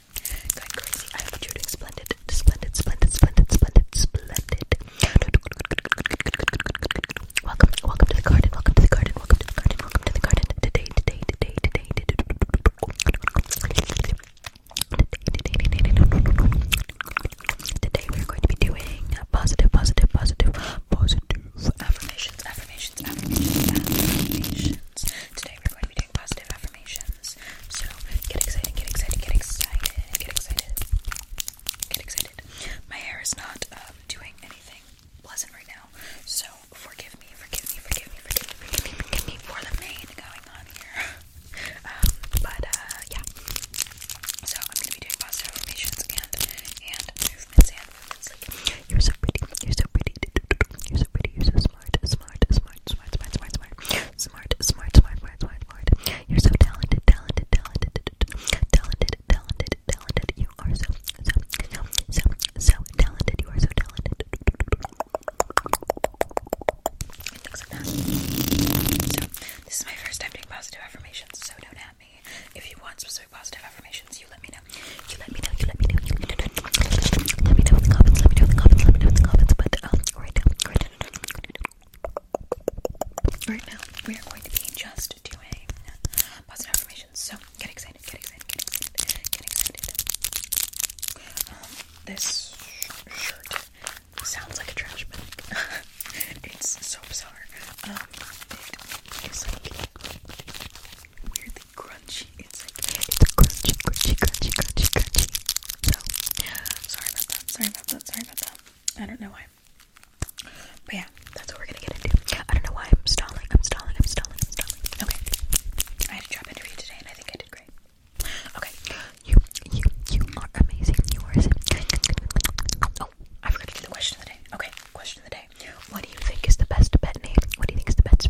Going crazy. I hope you're doing splendid. Splendid, splendid, splendid, splendid, splendid. Welcome, welcome to the garden. Welcome to the garden. Welcome to the garden. Welcome to the garden. Today, today, today, today, today. Today we're going to be doing positive, positive, positive, positive affirmations, affirmations, affirmations, affirmations. Today we're going to be positive affirmations. So get excited, get excited, get excited, get excited, get excited. My hair is not um, doing anything pleasant right now, so forgive me, forgive me, forgive me, forgive me, for the mane going on here. Um, but uh, yeah. So I'm gonna be doing positive affirmations and and movements and movements like you're so pretty, you're so pretty, you're so pretty, you're so smart, smart, smart, smart, smart, smart, smart, smart, smart, smart, smart, smart. You're so talented, talented, talented, talented, talented, talented. You are so, so, so, so, so talented. You are so talented. So, this is my first time doing positive affirmations, so don't at me. If you want specific positive affirmations, you let me know. You let me know. You let me know. You let me know right now, we are going to be just doing positive affirmations. So get excited, get excited, get excited, get excited. Um, this shirt sounds like a trash bag. it's so bizarre. Um, it is like weirdly crunchy. It's like it's crunchy, crunchy, crunchy, crunchy, crunchy. So sorry about that. Sorry about that. Sorry about that. I don't know why. But yeah, that's what we're gonna get into. I don't know why I'm stalling. I'm stalling. I'm stalling. I'm stalling. Okay. I had a job interview today, and I think I did great. Okay. You, you, you are amazing. You are. Oh, I forgot the question of the day. Okay, question of the day. What do you think is the best pet name? What do you think is the best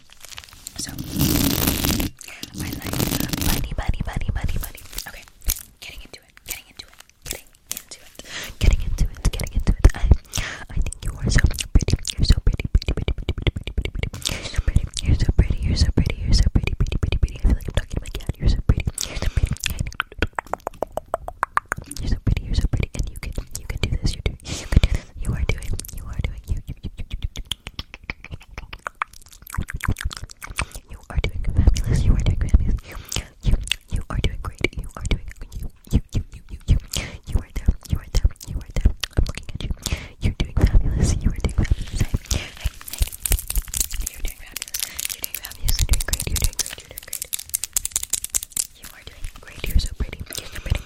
So I like money, money, money, money, money. Okay, getting into it, getting into it, getting into it, getting into it, getting into it. I, I think you are so pretty. You're so pretty, pretty, pretty, pretty, pretty, pretty, pretty, pretty. You're so pretty. You're so pretty. You're so pretty. You're so pretty, pretty, pretty, pretty. I feel like I'm talking to my cat. You're so pretty. You're so pretty. You're so pretty. You're so pretty, and you can, you can do this. You're You can do this. You are doing. You are doing. You, you, you, you, you, you, you are doing fabulous. You are doing fabulous. You, you, you are doing great. You are doing you, you, you, you, you, you. You are there. You are there. You are there. I'm looking at you. You're doing fabulous. You are doing fabulous. Hey, hey, hey. You're doing fabulous. You're doing fabulous. You're doing great. You're doing great. You're doing great. You are doing great. You're so pretty. You're so pretty.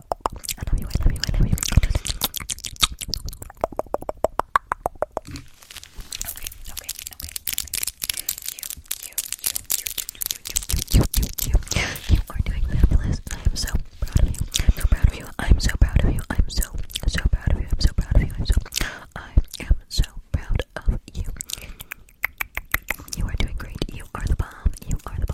I love you, I love you, I love you. You, you, you, you, you, you, I am so proud of you. so proud of you. I'm so proud of you. I'm so, so proud of you. I'm so proud of you. I'm so, I am so proud of you. You are doing great. You are the bomb. You are the bomb.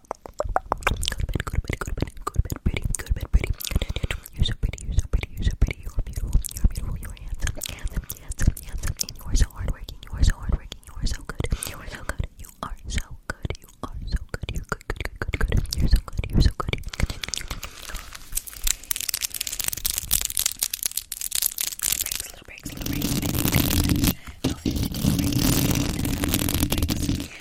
Go to bed, go to bed, go to bed, pretty, go to bed, pretty. You're so pretty, you're so pretty, you're so pretty, you're beautiful, you're beautiful, you're handsome, handsome, handsome, handsome, and you are so hardworking, you are so hardworking, you are so good, you are so good, you are so good, you are so good, you're good, good, good, good, good, you're so good, you're so good. Little breaks, little breaks, little breaks, little breaks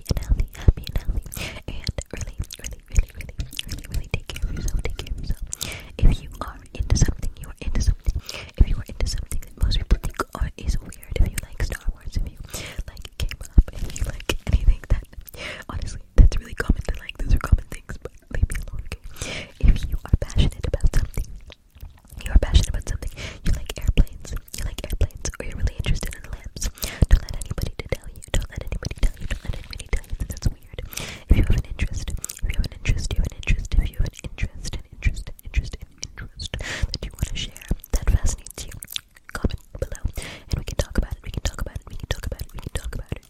happy and healthy, happy and healthy. And really, really, really, really, really, really take care of yourself, take care of yourself. If you are into something, you are into something. If you are into something that most people think are is weird, if you like Star Wars, if you like K-pop, if you like anything that honestly that's really common to like, those are common things, but leave me alone, okay? If you are passionate about something, you are passionate about something, you like airplanes, you like airplanes, or you're really interested in lamps, don't let anybody to tell you. Don't let anybody tell you. Don't let anybody tell you that that's weird. If you have an interest, if you have an interest, you have an interest. If you have an interest, an interest, an interest, an interest that you want to share that fascinates you, comment below, and we can talk about it. We can talk about it. We can talk about it. We can talk about it.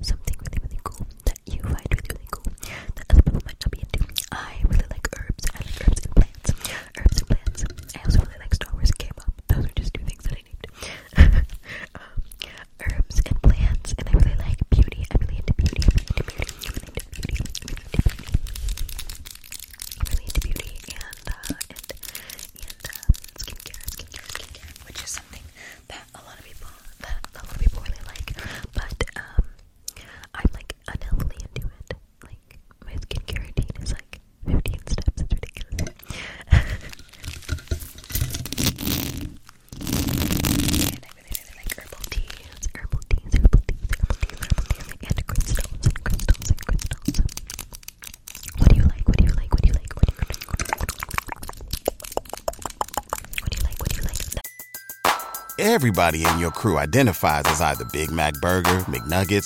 Something really, really cool that you find really, really cool that other people might not be into. I really like herbs. I like herbs and plants herbs and plants. I also really like Star Wars K-pop. Those are just two things that I need. Um, herbs and plants, and I really like beauty. I'm really into beauty. I'm really into beauty. I'm really into beauty. I'm really into beauty. Uh, and, and, uh, skincare, skincare, skincare, which is something that a lot of people, that a lot of people really like. But, um, I'm like unhealthily into it. Like, my skincare routine is like 15 steps. It's ridiculous. and I really, really like herbal teas, herbal teas, herbal teas, herbal teas, herbal teas, and crystals, and crystals, and crystals. What do you like? What do you like? What do you like? What do you like? What do you like? What do you like? Everybody in your crew identifies as either Big Mac Burger, McNuggets,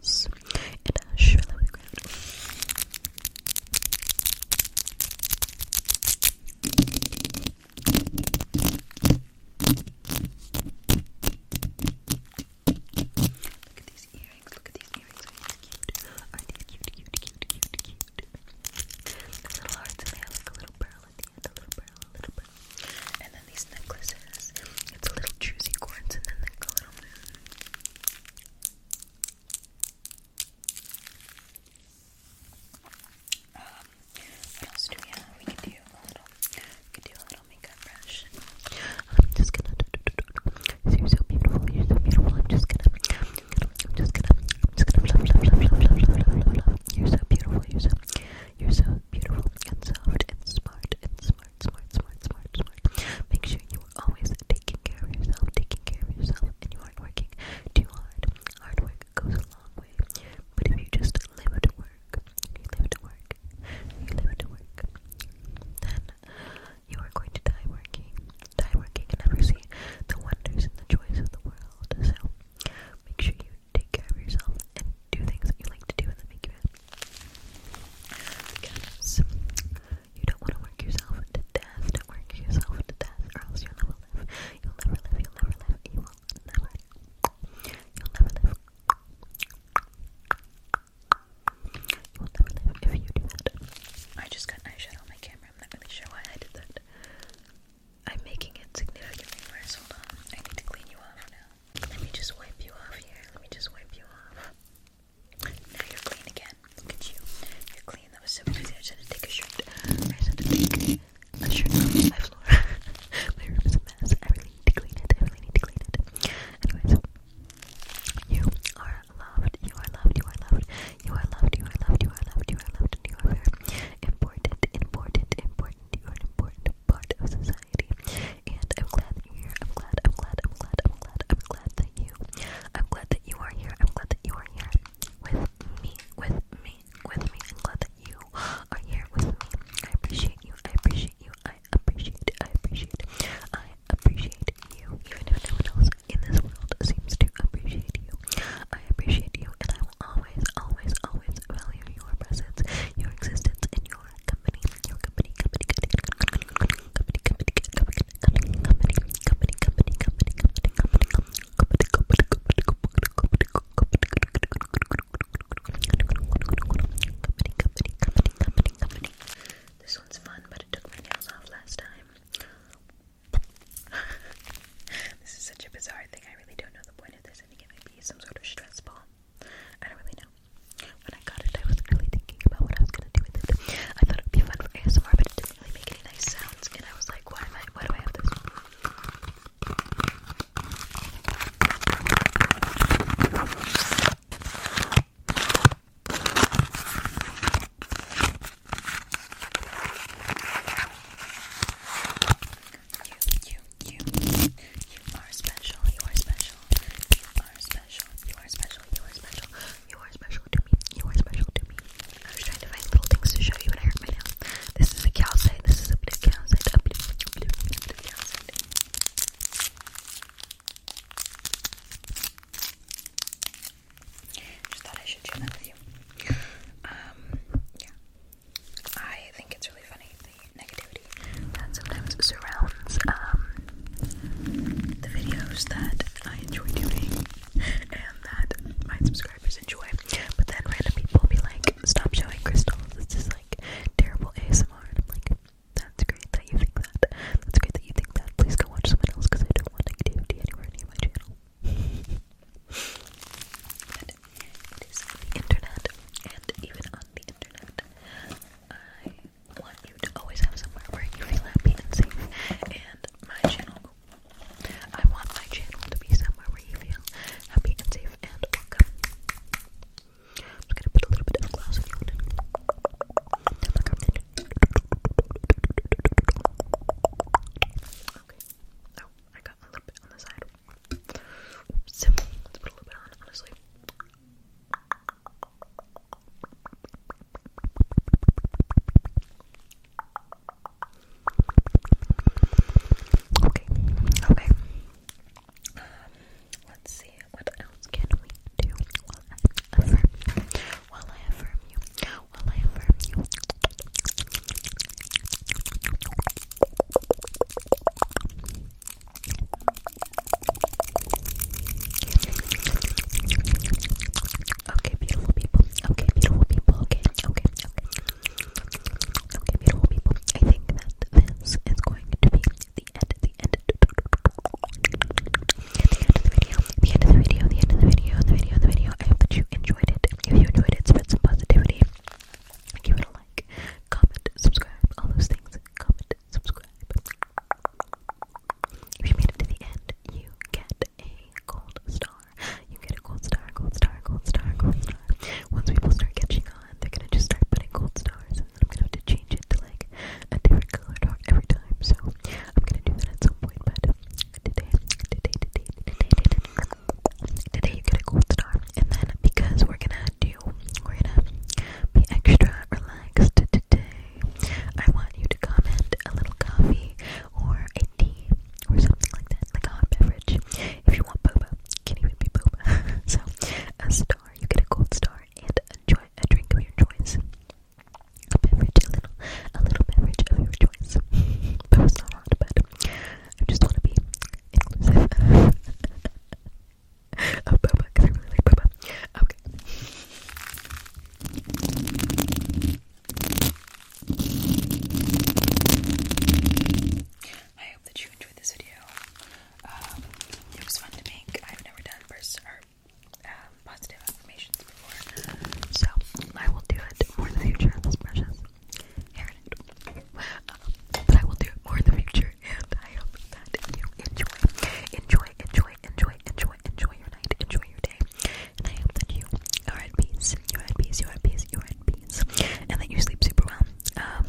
Studios in Asheville, Look at these earrings, look at these earrings, are these cute? cute, cute, cute, cute, cute? a little heart to me, like a little pearl at the end, a little pearl, a little pearl. And then these necklaces. It's a little juicy quartz and then like a little moon. Um, what else do we have? We could do a little, could do a little makeup brush. I'm just gonna. You're so beautiful. You're so beautiful. I'm just gonna. I'm just gonna. I'm just gonna. Love, You're so beautiful. You're so. You're so beautiful and soft and smart and smart smart, smart, smart, smart, Make sure you are always taking care of yourself, taking care of yourself, and you aren't working too hard. Hard work goes a long way. But if you just live to work, you live to work, you live to work, then you are going to die working. Die working and never see the wonders and the joys of the world. So make sure you take care of yourself and do things that you like to do and that make you happy. Because you don't want to work yourself to death. Don't work yourself to death, or else you'll never live. You'll never live. You'll never live. You will never. live you will never live you will never live. You will never live if you do that. I just got eyeshadow on my camera. I'm not really sure why I did that. I'm making it significantly worse. Hold on. I need to clean you off now. Let me just wipe you off here. Let me just wipe you off. Now you're clean again. Look at you. You're clean. That was so easy. I just had to take a shirt. I just had to take a shirt off my floor. my room is a mess. I really need to clean it. I really need to clean it. Anyways, you are loved. You are loved. You are loved. You are loved. You are loved. You are loved. You are loved. you are important. Important. Important. You are an important part of society and I'm glad that you're here. I'm glad, I'm glad, I'm glad, I'm glad, I'm glad that you, I'm glad you are here. I'm glad that you are here with me, with me, with me. I'm glad that you are here with me. I appreciate you. I appreciate you. I appreciate. I appreciate. I appreciate you. Even if no one else in this world seems to appreciate you, I appreciate you, and I will always, always, always, value your presence, your existence, and your company. Your company, company, company, company, company, company, company, company, company, company, company, company, company, company, company, company, company. This one's fun, but it took my nails off last time. this is such a bizarre thing. I really don't know the point of this. I think it might be some sort of stress ball. I don't really know. When I got it, I was really thinking about what I was gonna do with it. I thought it would be fun for ASMR, but it didn't really make any nice sounds, and I was like, why am I? Why do I have this? You, you, you, are special. You are special. You are special. You are special. You are special. You are special to me. You are special to me. I was trying to find little things to show you, and I hurt my nail. This is a calcite. This is a blue calcite. Um, yeah. I think it's really funny the negativity that sometimes surrounds um, the videos that I enjoy doing and that my subscribers enjoy. But then random people will be like, stop showing crystals, this is like terrible ASMR. And I'm like, that's great that you think that. That's great that you think that. Please go watch someone else because I don't want negativity anywhere near my channel. It is on the internet, and even on the internet, I want you to always have somewhere where you feel happy and safe. And my channel, I want my channel to be somewhere where you feel happy and safe and welcome. just gonna put a little bit of gloss on Okay. Oh, I got a little bit on the side honestly. Okay, okay. Um, let's see, what else can we do? Will I affirm Will I affirm you? Will I affirm you? Okay, beautiful people. Okay, beautiful people. Okay, okay, okay. beautiful people. I think that this is going to be the end, the end, the end of the video, the end of the video, the end of the video, the video, the video. I hope that you enjoyed it. If you enjoyed it, spread some positivity give it a like, comment, subscribe, all those things. Comment, subscribe. If you made it to the end, you get a gold star. You get a gold star, gold star, gold star, gold star. Once people start catching on, they're gonna just start putting gold stars, and then I'm gonna have to change it to like a different color dot every time. So I'm gonna do that at some point, but today, today, today, today, today, today, today today you get a gold star. And then because we're gonna do, we're gonna be extra relaxed today, I want you to comment a little coffee or a tea or something like that, like a hot beverage. If you want boba, it can even be boba. so a star, you get a gold star and enjoy a drink of your choice. beverage, a little, a little beverage of your choice. that was not hot, but I just want to be inclusive. oh, boba, because I really like boba. Okay. I hope that you enjoyed this video. Um, it was fun to make. I've never done um, positive affirmations before, so I will do it more in the future. That's precious. Uh, but I will do it more in the future, and I hope that you enjoy, enjoy, enjoy, enjoy, enjoy, enjoy your night, enjoy your day, and I hope that you are at peace, you're at peace, you're at peace, you're at peace, and that you sleep super well. Um,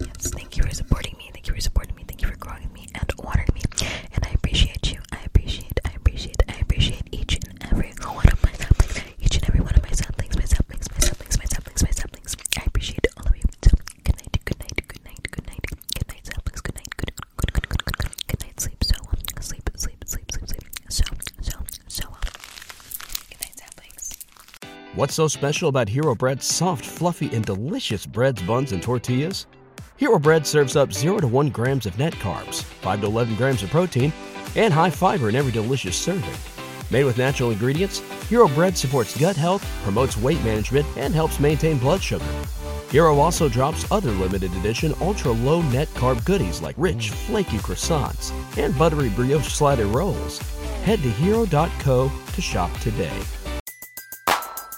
yes, thank you for supporting me, thank you for supporting me, thank you for growing me and watering me, and I appreciate you, I appreciate, I appreciate, I appreciate each and every one of my What's so special about Hero Bread's soft, fluffy, and delicious breads, buns, and tortillas? Hero Bread serves up zero to one grams of net carbs 5 to 11 grams of protein, and high fiber in every delicious serving. Made with natural ingredients, Hero Bread supports gut health, promotes weight management, and helps maintain blood sugar. Hero also drops other limited edition ultra low net carb goodies like rich, flaky croissants and buttery brioche slider rolls. Head to hero.co to shop today.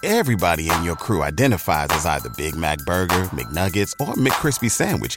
Everybody in your crew identifies as either Big Mac Burger, McNuggets, or McKrispy Sandwich